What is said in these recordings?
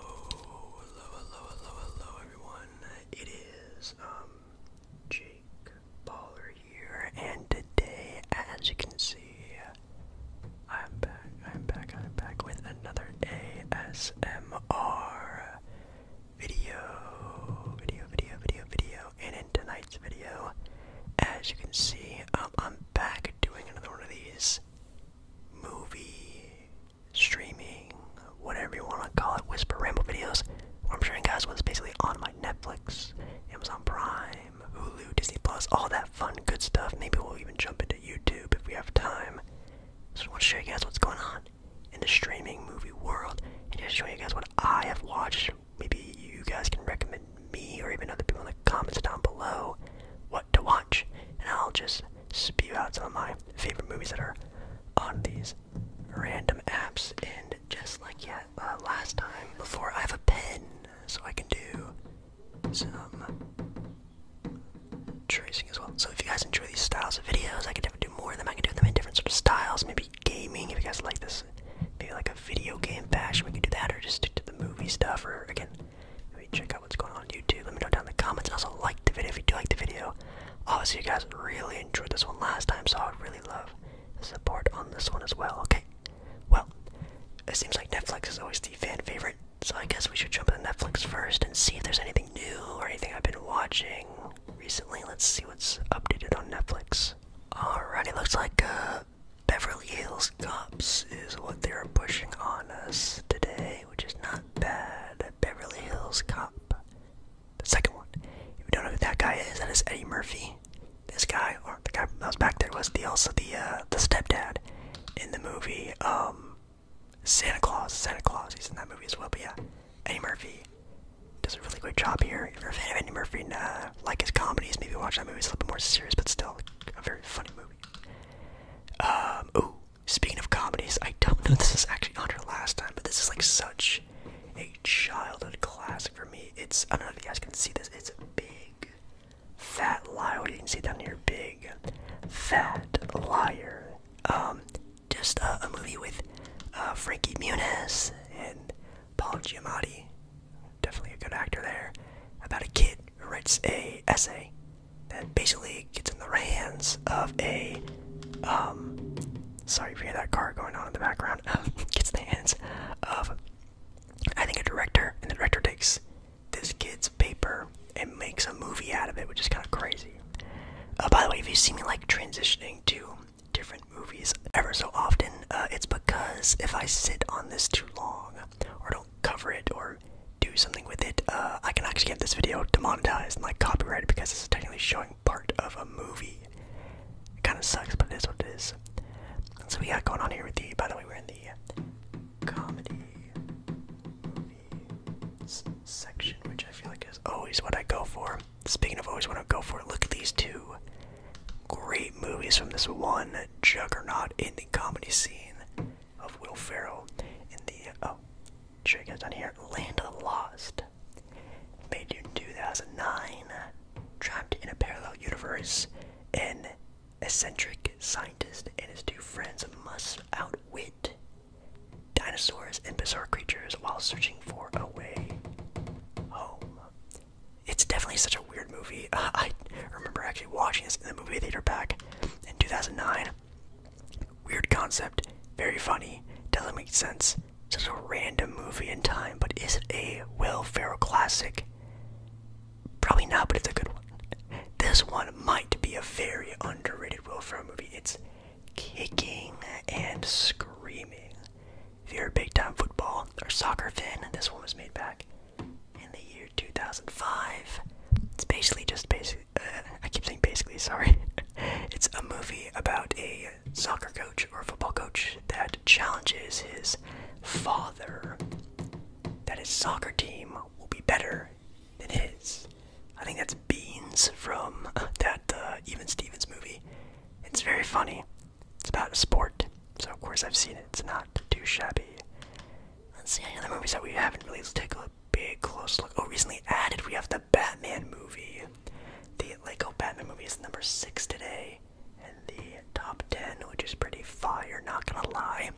Oh, hello, hello, hello, hello, everyone. It is um, Jake Baller here, and today, as you can see, I'm back. I'm back. I'm back with another ASMR video, video, video, video, video. And in tonight's video, as you can see, um, I'm back doing another one of these movie streaming, whatever you want to call it, whisper ramble videos. I'm sharing guys what's basically on my Netflix, Amazon Prime, Hulu, Disney Plus, all that fun, good stuff. Maybe we'll even jump into YouTube if we have time. So I want to show you guys what's going on in the streaming movie world, and just show you guys what I have watched. Maybe you guys can recommend me or even other people in the comments down below what to watch, and I'll just spew out some of my favorite movies that are on these random apps. And just like yeah, uh, last time, before I have a pen, so I can do some tracing as well. So if you guys enjoy these styles of videos, I can definitely do more of them. I can do them in different sort of styles, maybe gaming. If you guys like this, maybe like a video game fashion, we could do that, or just stick to the movie stuff. Or again, let me check out what's going on, on YouTube. Let me know down in the comments. Also, like the video if you do like the video. Obviously, you guys really enjoyed this one last time, so I would really love support on this one as well. Okay. Well, it seems like Netflix is always the fan favorite, so I guess we should jump into Netflix first and see if there's anything new or anything I've been watching recently. Let's see what's updated on Netflix. Alright, it looks like uh, Beverly Hills Cops is what they're pushing on us today which is not bad. Beverly Hills Cop. The second one. If you don't know who that guy is, that is Eddie Murphy. This guy, or the guy that was back there, was the also the uh, the stepdad in the movie um, Santa Claus. Santa Claus. He's in that movie as well. But yeah, Eddie Murphy does a really great job here. If you're a fan of Eddie Murphy and uh, like his comedies, maybe watch that movie. It's a little bit more serious, but still a very funny movie. Um, ooh, Speaking of comedies, I don't know if this is actually on her last time, but this is like such a childhood classic for me. It's I don't know if you guys can see this. It's a big fat liar. do you see down here? Big fat liar. Um, just a movie with uh, Frankie Muniz and Paul Giamatti. Definitely a good actor there. About a kid who writes a essay that basically gets in the hands of a um sorry if you hear that car going on in the background gets in the hands of I think a director and the director takes this kid's paper and makes a movie out of it, which is kind of crazy. Uh, by the way, if you see me like transitioning to different movies ever so often, uh, it's because if I sit on this too long or don't cover it or do something with it, uh, I can actually have this video demonetized and like copyrighted because this is technically showing part of a movie. It kind of sucks, but it is what it is. So we got going on here with the. By the way, we're in the comedy movies section, which I feel like is always what I go for. Speaking of always what I go for, look at these two great movies from this one juggernaut in the comedy scene of Will Ferrell in the oh, sure you guys on here. Land of the Lost made in 2009. Trapped in a parallel universe, an eccentric scientist and his two friends must outwit dinosaurs and bizarre creatures while searching for a way home. It's definitely such a weird movie. I remember actually watching this in the movie theater back in 2009. Weird concept, very funny, doesn't make sense. It's just a random movie in time, but is it a Will Ferrell classic? Probably not, but it's a good one. This one might be a very underrated Will Ferrell movie. It's kicking and screaming. If you're a big time football or soccer fan, this one was made back in the year 2005. It's basically just basically. Uh, I keep saying basically. Sorry. it's a movie about a soccer coach or football coach that challenges his father that his soccer team will be better than his. I think that's Beans from that uh, Even Stevens movie. It's very funny. It's about a sport, so of course I've seen it. It's not too shabby. Let's see any other movies that we haven't really. Let's take a big close look. Oh, recently added, we have the Batman movie. The Lego Batman movie is number six today, and the top ten, which is pretty fire. Not gonna lie.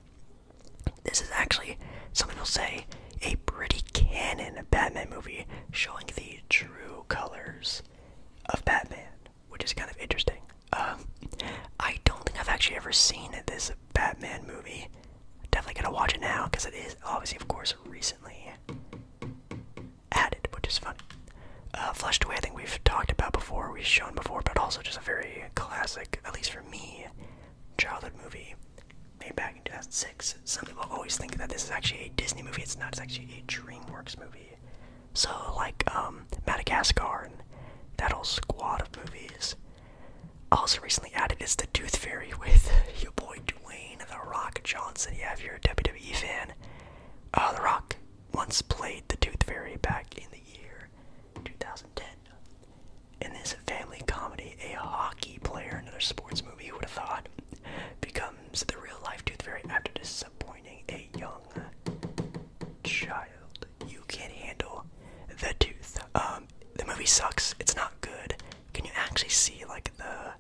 This is actually some people say a pretty canon Batman movie showing the true colors of Batman, which is kind of interesting. Um, I don't think I've actually ever seen this Batman movie. Definitely gonna watch it now because it is obviously, of course, recently added, which is fun. Uh, Flushed Away, I think we've talked about before, we've shown before, but also just a very classic, at least for me, childhood movie made back in 2006. Some people always think that this is actually a Disney movie. It's not. It's actually a DreamWorks movie. So, like um, Madagascar and that whole squad of movies also recently added is the Tooth Fairy with your boy Dwayne The Rock Johnson. Yeah, if you're a WWE fan, uh, The Rock once played the Tooth Fairy back in the year 2010. In this family comedy, a hockey player, another sports movie, who would have thought, becomes the real life Tooth Fairy after disappointing a young child you can't handle the tooth. Um, the movie sucks. It's not good. Can you actually see like the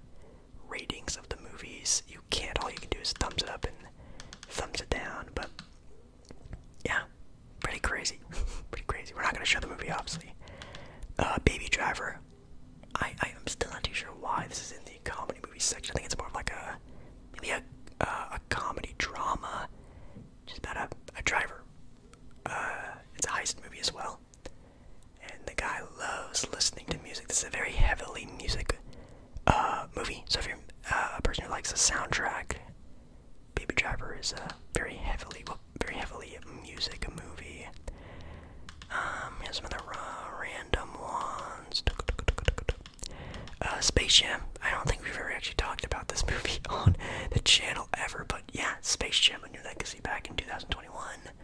ratings of the movies? You can't. All you can do is thumbs it up and thumbs it down. But yeah, pretty crazy. pretty crazy. We're not gonna show the movie, obviously. Uh, Baby Driver. I I am still not too sure why this is in the comedy movie section. I think it's more of like a maybe a uh, a comedy drama just about a, a driver. Uh, it's a heist movie as well. And the guy loves listening to music. This is a very heavily music uh, movie. So if you're uh, a person who likes the soundtrack, Baby Driver is a very heavily, well, very heavily music movie. Um, here's some other random ones. Uh, Space Jam. I don't think we've ever actually talked about this movie on the channel ever, but yeah, Space Jam: A New Legacy back in 2021.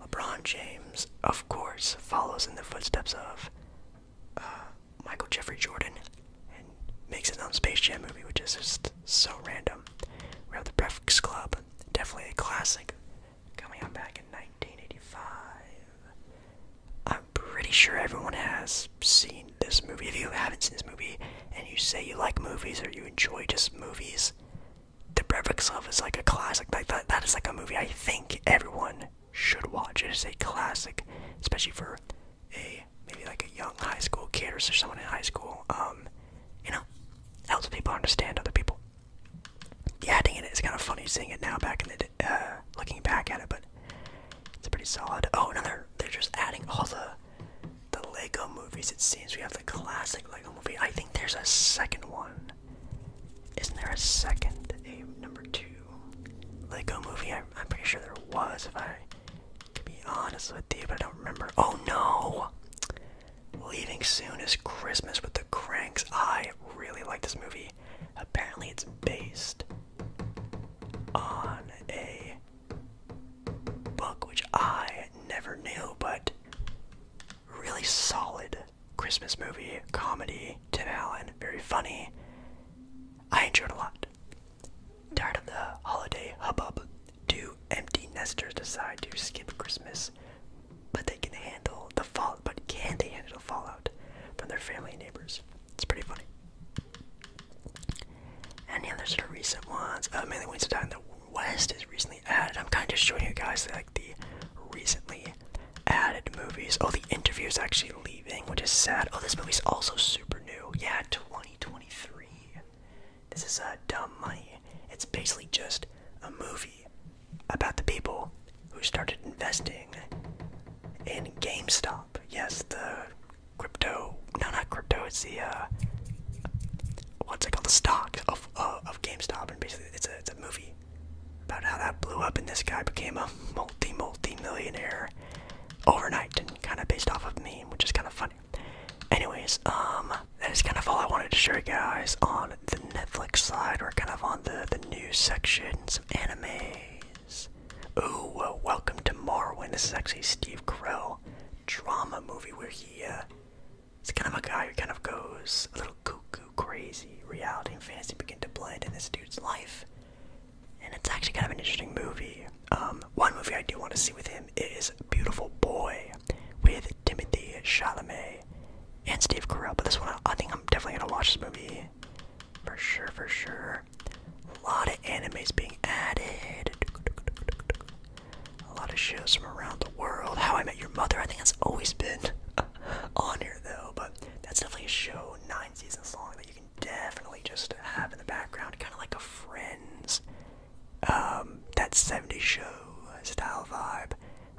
LeBron James, of course, follows in the footsteps of uh, Michael Jeffrey Jordan and makes his own Space Jam movie, which is just so random. We have the Breakfast Club, definitely a classic, coming out back in 1985. I'm pretty sure everyone has seen this movie. If you haven't seen this movie and you say you like movies or you enjoy just movies, The Breakfast Club is like a classic. Like that, that is like a movie I think everyone should watch. It is a classic, especially for a maybe like a young high school kid or someone in high school. Um, you know, helps people understand other people. The acting in it is kind of funny seeing it now. Back in the uh, looking back at it, but it's pretty solid. Oh, another. They're just adding all the the Lego movies. It seems we have the classic Lego movie. I think there's a second one. Isn't there a second, a number two Lego movie? I, am pretty sure there was. If I to be honest with you, but I don't remember. Oh no! Leaving Soon is Christmas with the Cranks. I really like this movie. Apparently, it's based on a book which I never knew, but really solid Christmas movie, comedy, Tim Allen, very funny. I enjoyed a lot. Tired of the holiday hubbub. Do empty nesters decide to skip Christmas, but they can handle the fall but can they handle the fallout from their family and neighbors? It's pretty funny. And yeah, there's sort of recent ones. Uh, mainly ones that in the West is recently added. I'm kind of just showing you guys like the recently added movies. Oh, the interview is actually leaving, which is sad. Oh, this movie's also super new. Yeah, 2023. This is a uh, Dumb Money. It's basically just a movie about the people who started investing in GameStop. Yes, the crypto. No, not crypto. It's the uh, what's it called? The stock of uh, of GameStop, and basically it's a it's a movie about how that blew up, and this guy became a multi multi millionaire overnight, and kind of based off of me, which is kind of funny. Anyways, um, that is kind of all I wanted to show you guys, on the Netflix side, We're kind of on the the new section, of anime, Oh, welcome to Marwin. This is actually Steve Carell drama movie where he uh, is kind of a guy who kind of goes a little cuckoo crazy. Reality and fantasy begin to blend in this dude's life, and it's actually kind of an interesting movie. Um, one movie I do want to see with him is Beautiful Boy with Timothy Chalamet and Steve Carell. But this one, I think I'm definitely gonna watch this movie for sure, for sure. A lot of animes being added. A lot of shows from around the world. How I Met Your Mother, I think that's always been on here though, but that's definitely a show nine seasons long that you can definitely just have in the background, kind of like a Friends, um, that seventy show style vibe.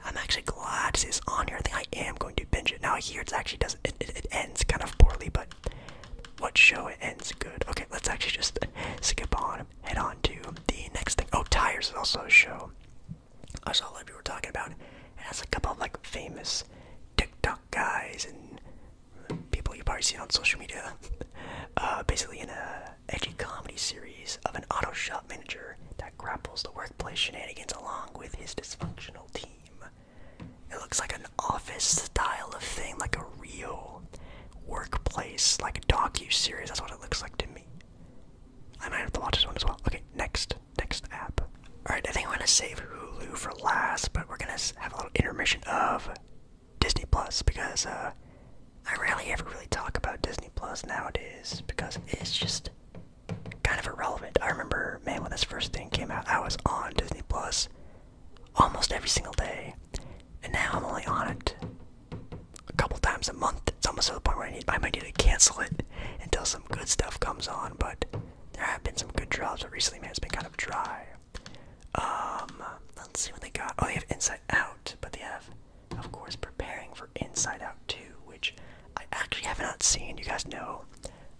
I'm actually glad it's on here. I think I am going to binge it. Now I hear it's actually doesn't. it ends kind of poorly, but what show ends good? Okay, let's actually just skip on, head on to the next thing. Oh, Tires is also a show. I saw a lot of people were talking about it. It has a couple of like famous TikTok guys and people you've probably seen on social media. Uh, basically, in a edgy comedy series of an auto shop manager that grapples the workplace shenanigans along with his dysfunctional team. It looks like an office style of thing, like a real workplace, like a docu series. That's what it looks like to me. I might have to watch this one as well. Okay, next, next app. All right, I think I'm gonna save Hulu for last, but we're gonna have a little intermission of Disney Plus because uh, I rarely ever really talk about Disney Plus nowadays because it's just kind of irrelevant. I remember man, when this first thing came out, I was on Disney Plus almost every single day, and now I'm only on it a couple times a month. It's almost to the point where I, need, I might need to cancel it until some good stuff comes on. But there have been some good drops, but recently, man, it's been kind of dry. Um, let's see what they got. Oh, they have Inside Out, but they have, of course, preparing for Inside Out 2, which I actually have not seen. You guys know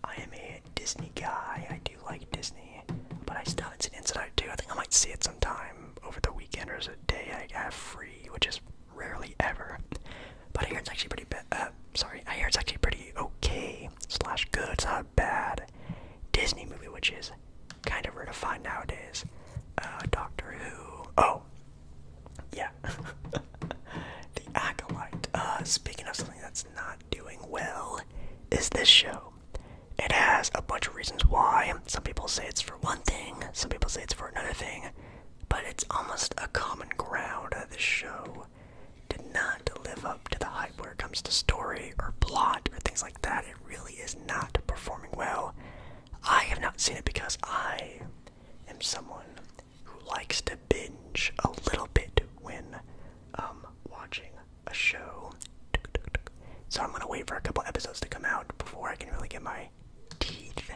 I am a Disney guy. I do like Disney, but I still haven't seen Inside Out 2. I think I might see it sometime over the weekend or as a day I have free, which is rarely ever. But I hear it's actually pretty bad. Uh, sorry, I hear it's actually pretty okay slash good. It's not bad Disney movie, which is kind of rare to find nowadays. Uh, Doctor Who. Oh, yeah, The Acolyte. Uh, speaking of something that's not doing well is this show. It has a bunch of reasons why. Some people say it's for one thing, some people say it's for another thing, but it's almost a common ground. This show did not live up to the hype where it comes to story or plot or things like that. It really is not performing well. I have not seen it because I am someone who likes to binge a little bit when um, watching a show. So I'm going to wait for a couple episodes to come out before I can really get my teeth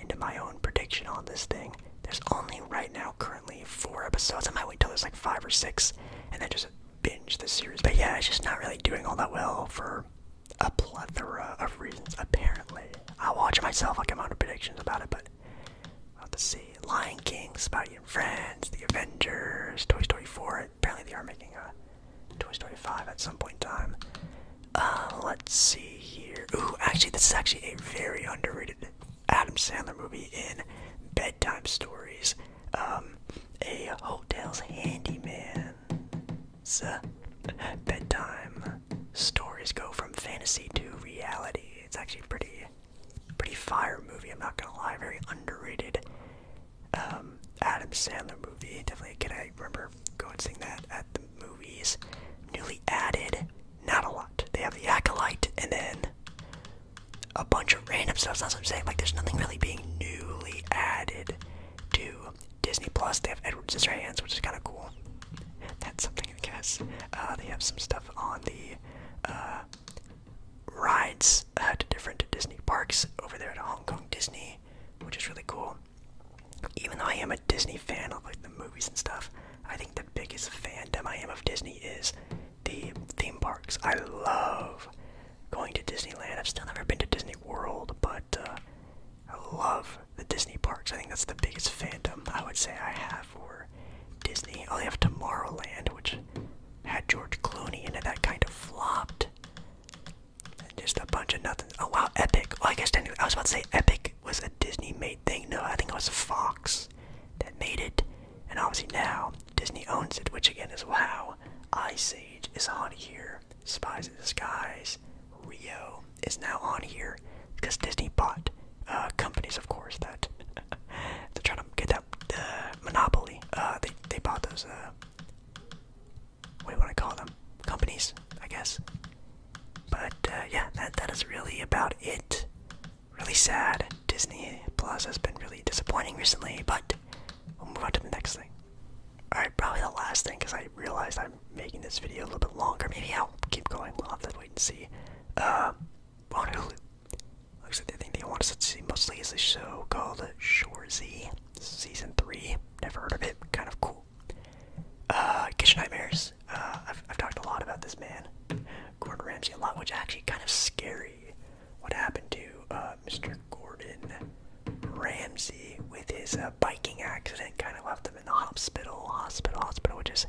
into my own prediction on this thing. There's only right now currently four episodes. I might wait till there's like five or six and then just binge the series. But yeah, it's just not really doing all that well for a plethora of reasons, apparently. I'll watch it myself, I'll come out with predictions about it, but We'll to see. Lion King, about your Friends, The Avengers, Toy Story 4. Apparently they are making a Toy Story 5 at some point in time. Uh, let's see here. Ooh, actually, this is actually a very underrated Adam Sandler movie in Bedtime Stories. Um, a hotel's handyman. Uh, bedtime stories go from fantasy to reality. It's actually pretty pretty fire movie. I'm not gonna lie, very underrated um, Adam Sandler movie. Definitely can I remember going seeing that at the movies. Newly added, not a lot. They have the acolyte and then a bunch of random stuff. That's what I'm saying. Like there's nothing really being newly added to Disney Plus. They have Edward Scissorhands, which is kind of cool. That's something I guess. Uh, they have some stuff on the uh, rides at uh, different Disney parks over there at Hong Kong Disney, which is really cool. Even though I am a Disney fan of like the movies and stuff, I think the biggest fandom I am of Disney is the theme parks. I love going to Disneyland. I've still never been to Disney World, but uh, I love the Disney parks. I think that's the biggest fandom I would say I have have Disney. Oh, they have Tomorrowland, which had George Clooney in it. That kind of flopped. And just a bunch of nothing. Oh wow, Epic. Well, I guess anyway, I was about to say Epic was a Disney-made thing. No, I think it was a Fox that made it, and obviously now Disney owns it, which again is wow. Ice Age is on here. Spies in Disguise. Rio is now on here because Disney bought uh, companies, of course, that they're trying to get that monopoly. Uh, they they bought those. Uh, what do I call them? Companies, I guess. But yeah, that that is really about it. Really sad. Disney Plus has been really disappointing recently, but we'll move on to the next thing. Alright, probably the last thing because I realize I'm making this video a little bit longer. Maybe I'll keep going. We'll have to wait and see on Hulu. Looks like the thing they want us to see mostly is a show called Shorzy Season 3. Never heard of it. Kind of cool. Uh, Kitchen Nightmares. Uh, I've, I've talked a lot about this man, Gordon Ramsay, a lot, which actually kind of scary. What happened to uh, Mr. Gordon Ramsay with his uh, biking accident? Kind of left him in the hospital, hospital, hospital, which is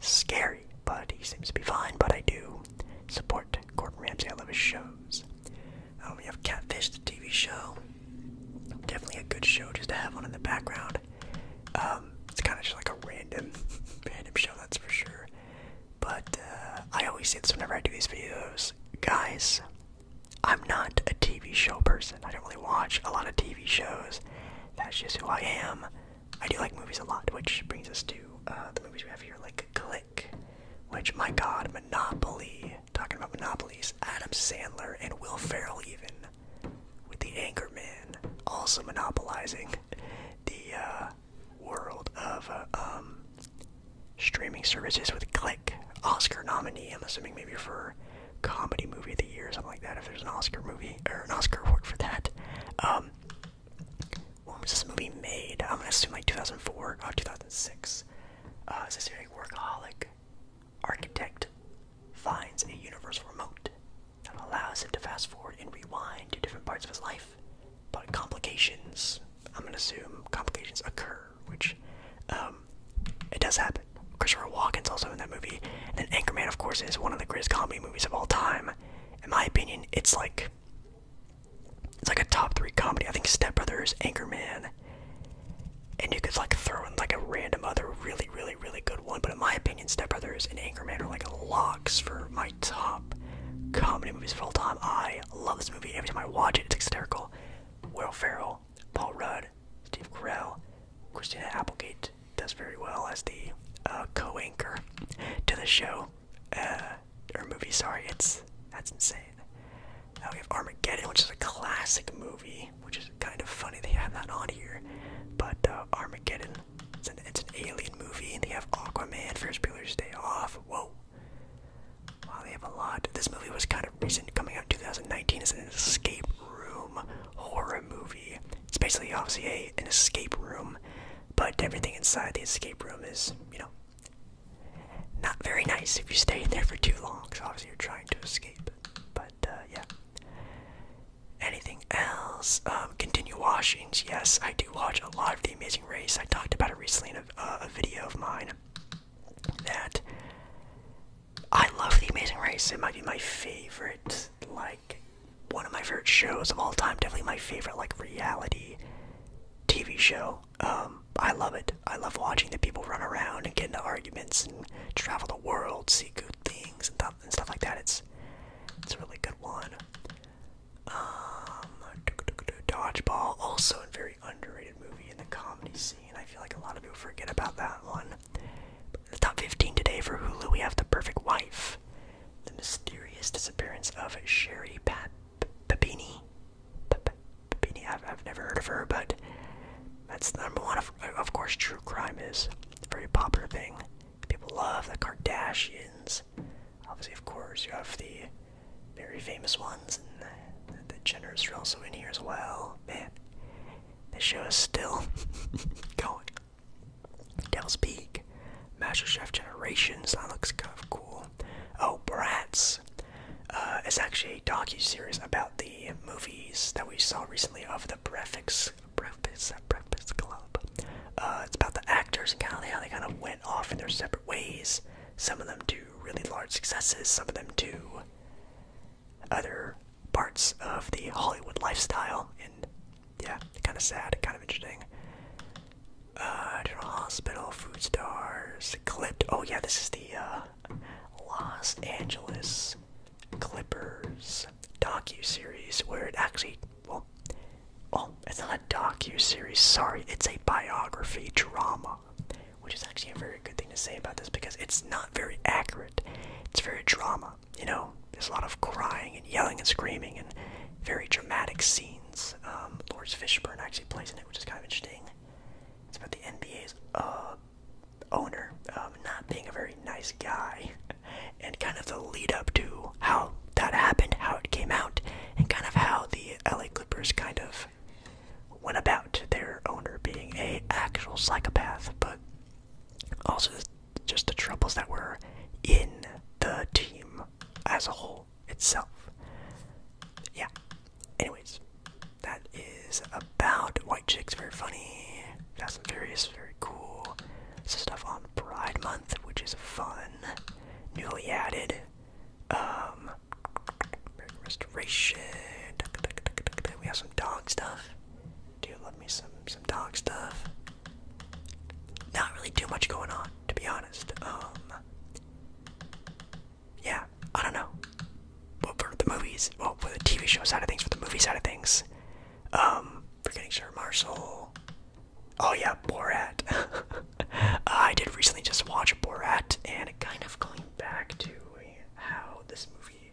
scary but he seems to be fine. But I do support Gordon Ramsay. I love his shows. Um, we have Catfish, the TV show. Definitely a good show just to have one in the background. Um, it's kind of just like a random, random show, that's for sure. But uh, I always say this whenever I do these videos, guys. I'm not a TV show person. I don't really watch a lot of TV shows. That's just who I am. I do like movies a lot, which brings us to uh, the movies we have here, like Click, which, my god, Monopoly. Talking about Monopolies, Adam Sandler and Will Ferrell, even, with the Anchorman, also monopolizing the uh, world of uh, um, streaming services with Click, Oscar nominee, I'm assuming maybe for Comedy Movie of the Year, or something like that if there's an Oscar movie or an Oscar award for that. Um, when was this movie made? I'm gonna assume like 2004 or 2006. Uh, is workaholic architect finds a universal remote that allows him to fast forward and rewind to different parts of his life? But complications, I'm gonna assume complications occur, which um, it does happen. Christopher Walken's also in that movie, and then Anchorman, of course, is one of the greatest comedy movies of all time. In my opinion, it's like it's like a top three comedy. I think Step Brothers, Anchorman, and you could like throw in like a random other really, really, really good one. But in my opinion, Step Brothers and Anchorman are like locks for my top comedy movies of all time. I love this movie. Every time I watch it, it's hysterical. Will Ferrell, Paul Rudd, Steve Carell, Christina Applegate, does very well as the uh, co-anchor to the show uh, or movie. Sorry, it's that's insane. Now we have Armageddon, which is a classic movie, which is kind of funny they have that on here. But uh, Armageddon, it's an, alien movie, and they have Aquaman, Ferris Bueller's Day Off. Whoa. Wow, they have a lot. This movie was kind of recent, coming out in 2019. It's an escape room horror movie. It's basically obviously a, an escape room, but everything inside the escape room is, you know, not very nice if you stay in there for too long, So obviously you're trying to escape. But uh, yeah. Anything else? Um, continue washings. Yes, I do watch a lot of The Amazing Race. I talked about it recently in a, uh, a video of mine. That I love The Amazing Race. It might be my favorite, like, one of my favorite shows of all time, definitely my favorite like reality TV show. Um, I love it. I love watching the people run around and get into arguments and travel the world, see good things and, stuff like that. It's it's a really good one. Um, Dodgeball, also a very underrated movie in the comedy scene. I feel like a lot of people forget about that one. The top 15 today for Hulu we have The Perfect Wife, The Mysterious Disappearance of Sherry Pap Papini. Papini, I've, never heard of her, but that's number one. Of, of course, true crime is a very popular thing. People love the Kardashians. Obviously, of course, you have the very famous ones, and the, the Jenners are also in here as well. Man, this show is still going. Dells Peak, MasterChef Generations, that looks kind of cool. Oh, Bratz! Uh, it's actually a docu-series about the movies that we saw recently of the Breakfast, Breakfast, Breakfast Club. Uh, it's about the actors and kind of how they kind of went off in their separate ways. Some of them do really large successes, some of them do other parts of the Hollywood lifestyle, and yeah, kind of sad, kind of interesting. Uh, Hospital, Food Stars, Clipped. Oh yeah, this is the uh, Los Angeles Clippers docu series where it actually, well, well, oh, it's not a docu series. Sorry, it's a biography drama, which is actually a very good thing to say about this because it's not very accurate. It's very drama you know, there's a lot of crying and yelling and screaming and very dramatic scenes. Um, Lord Fishburne actually plays in it, which is kind of interesting. It's about the NBA's uh, owner um, not being a very nice guy, and kind of the lead up to how that happened, how it came out, and kind of how the LA Clippers kind of went about their owner being a actual psychopath. But also, just the troubles that were in the team as a whole itself. Yeah. Anyways, that is about White Chicks. Very funny. Fast and Furious. Very cool. Some stuff on Pride Month, which is fun. Newly added. Um, American Restoration. We have some dog stuff do love me some some dog stuff. Not really too much going on, to be honest. Um, yeah, I don't know. But for the movies, well, for the TV show side of things, for the movie side of things, um, forgetting Sir Marshall. Oh yeah, Borat. I did recently just watch Borat, and kind of going back to how this movie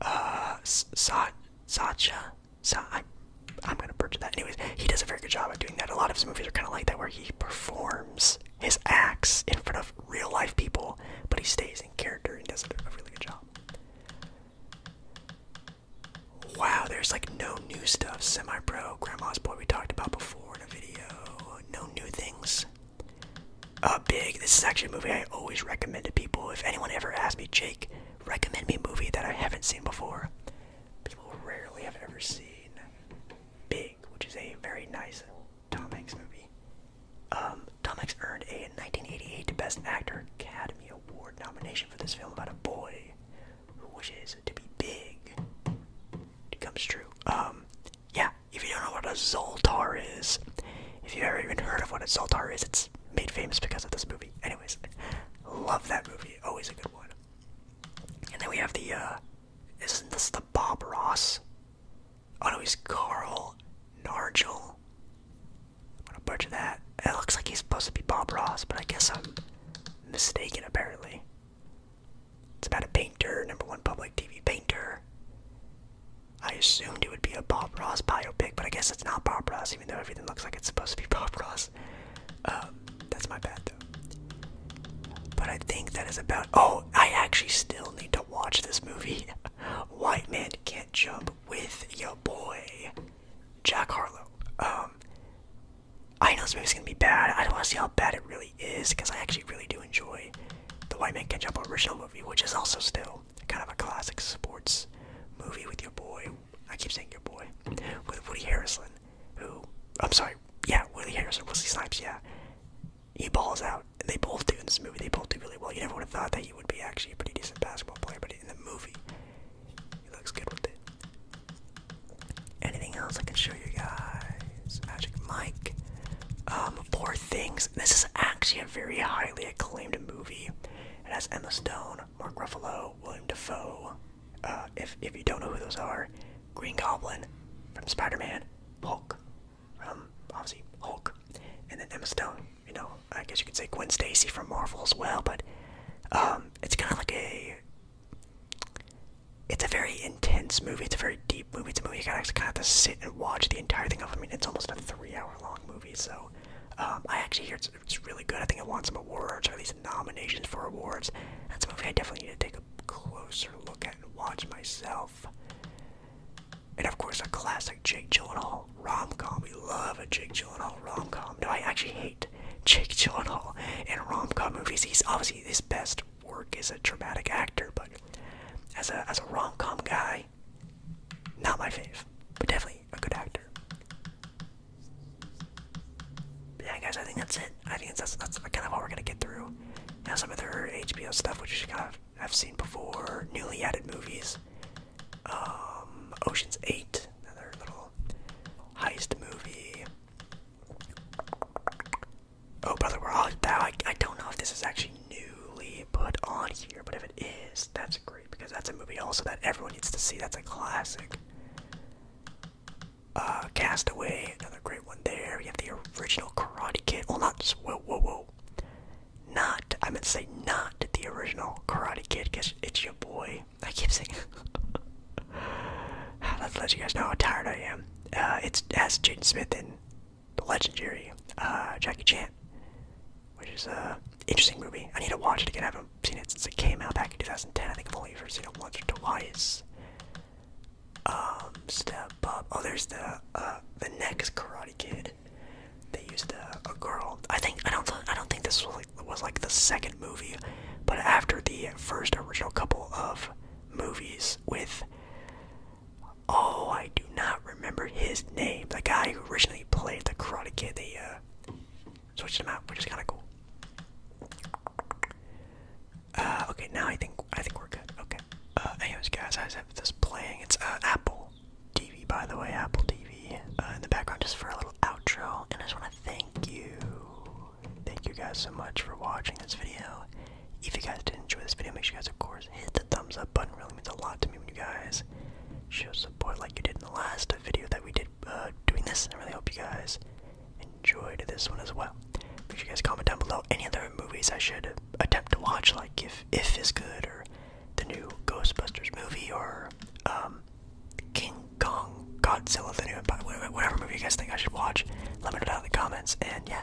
uh, Sa Sacha. Sa I, I'm gonna butcher that. Anyways, he does a very good job of doing that. A lot of his movies are kind of like that, where he performs his acts in front of real life people, but he stays in character and does a really good job. Wow, there's like no new stuff. Semi-pro, Grandma's Boy we talked about before in a video. No new things. Uh, Big. This is actually a movie I always recommend to people. If anyone ever asks me, Jake, recommend me a movie that I haven't seen before. People rarely have ever seen Big, which is a very nice Tom Hanks movie. Um, Tom Hanks earned a 1988 Best Actor Academy Award nomination for this film about a boy who wishes to be big. It comes true. Um, yeah, if you don't know what a Zoltar is, if you've ever even heard of what a Zoltar is, it's made famous because of this movie. Anyways, love that movie. Always a good one. And then we have the, uh, isn't this the Bob Ross? Oh no, he's Carl Nargel. I'm gonna butcher that. It looks like he's supposed to be Bob Ross, but I guess I'm mistaken apparently. It's about a painter, number one public TV painter. I assumed it would be a Bob Ross biopic, but I guess it's not Bob Ross, even though everything looks like it's supposed to be Bob Ross. Um, that's my bad, though. But I think that is about. Oh, I actually still need to watch this movie. White Man Can't Jump with your boy, Jack Harlow. Um, I know this movie's gonna be bad. I don't want to see how bad it really is, because I actually really do enjoy the White Man Catch Up original movie, which is also still kind of a classic sports movie with your boy. I keep saying your boy, with Woody Harrison, who I'm sorry, yeah, Woody Harrison, Wesley Snipes, yeah, he balls out. They both do in this movie. They both do really well. You never would have thought that he would be actually a pretty decent basketball player, but in the movie, he looks good with it. Anything else I can show you guys? Magic Mike. Poor um, Things. This is actually a very highly acclaimed movie. It has Emma Stone, Mark Ruffalo, William Defoe. Uh, if if you don't know who those are, Green Goblin from Spider-Man, Hulk from um, obviously Hulk, and then Emma Stone. You know, I guess you could say Gwen Stacy from Marvel as well. But um, it's kind of like a. It's a very intense movie. It's very deep movie to movie. You kind of have to sit and watch the entire thing. I mean, it's almost a three-hour-long movie, so um, I actually hear it's, it's really good. I think it won some awards, or at least nominations for awards. That's a movie I definitely need to take a closer look at and watch myself. And of course, a classic Jake Gyllenhaal rom-com. We love a Jake Gyllenhaal rom-com. No, I actually hate Jake Gyllenhaal in rom-com movies. He's obviously his best work as a dramatic actor, but as a as a rom com guy, not my fav. but definitely a good actor. yeah, guys, I think that's it. I think that's that's kind of all we're gonna get through. Now some of their HBO stuff, which kind of I've seen before, newly added movies. Um, Ocean's Eight, another little heist movie. Oh, brother, we're all that. I, I don't know if this is actually newly put on here, but if it is, that's great because that's a movie also that everyone needs to see. That's a classic. Uh, Castaway, another great one there. We have the original Karate Kid. Well, not whoa, whoa, whoa. Not, I meant to say not the original Karate Kid because it's your boy. I keep saying. Let's let you guys know how tired I am. Uh, it's, as has Jaden Smith in the legendary uh, Jackie Chan, which is a interesting movie. I need to watch it again. I haven't seen it since it came out back in 2010. I think I've only ever seen it once or twice. Um, step up. Oh, there's the uh, the next Karate Kid. They used a, girl. I think I don't I don't think this was like the second movie, but after the first original couple of movies with Oh, I do not remember his name. The guy who originally played the Karate Kid, they uh, switched him out, which is kind of cool. Uh, okay, now I think I think we're good. Okay. Uh, anyways, guys, I have this playing. It's uh, Apple TV, by the way, Apple TV uh, in the background, just for a little outro. And I just want to thank you, thank you guys so much for watching this video. If you guys did enjoy this video, make sure you guys, of course, hit the thumbs up button. really means a lot to me when you guys show support like you did in the last video that we did uh, doing this. I really hope you guys enjoyed this one as well. Make sure you guys comment down below any other movies I should attempt to watch, like if If is good or the new Ghostbusters movie or um, King Kong, Godzilla, the new Empire, whatever movie you guys think I should watch. Let me know down in the comments. And yeah,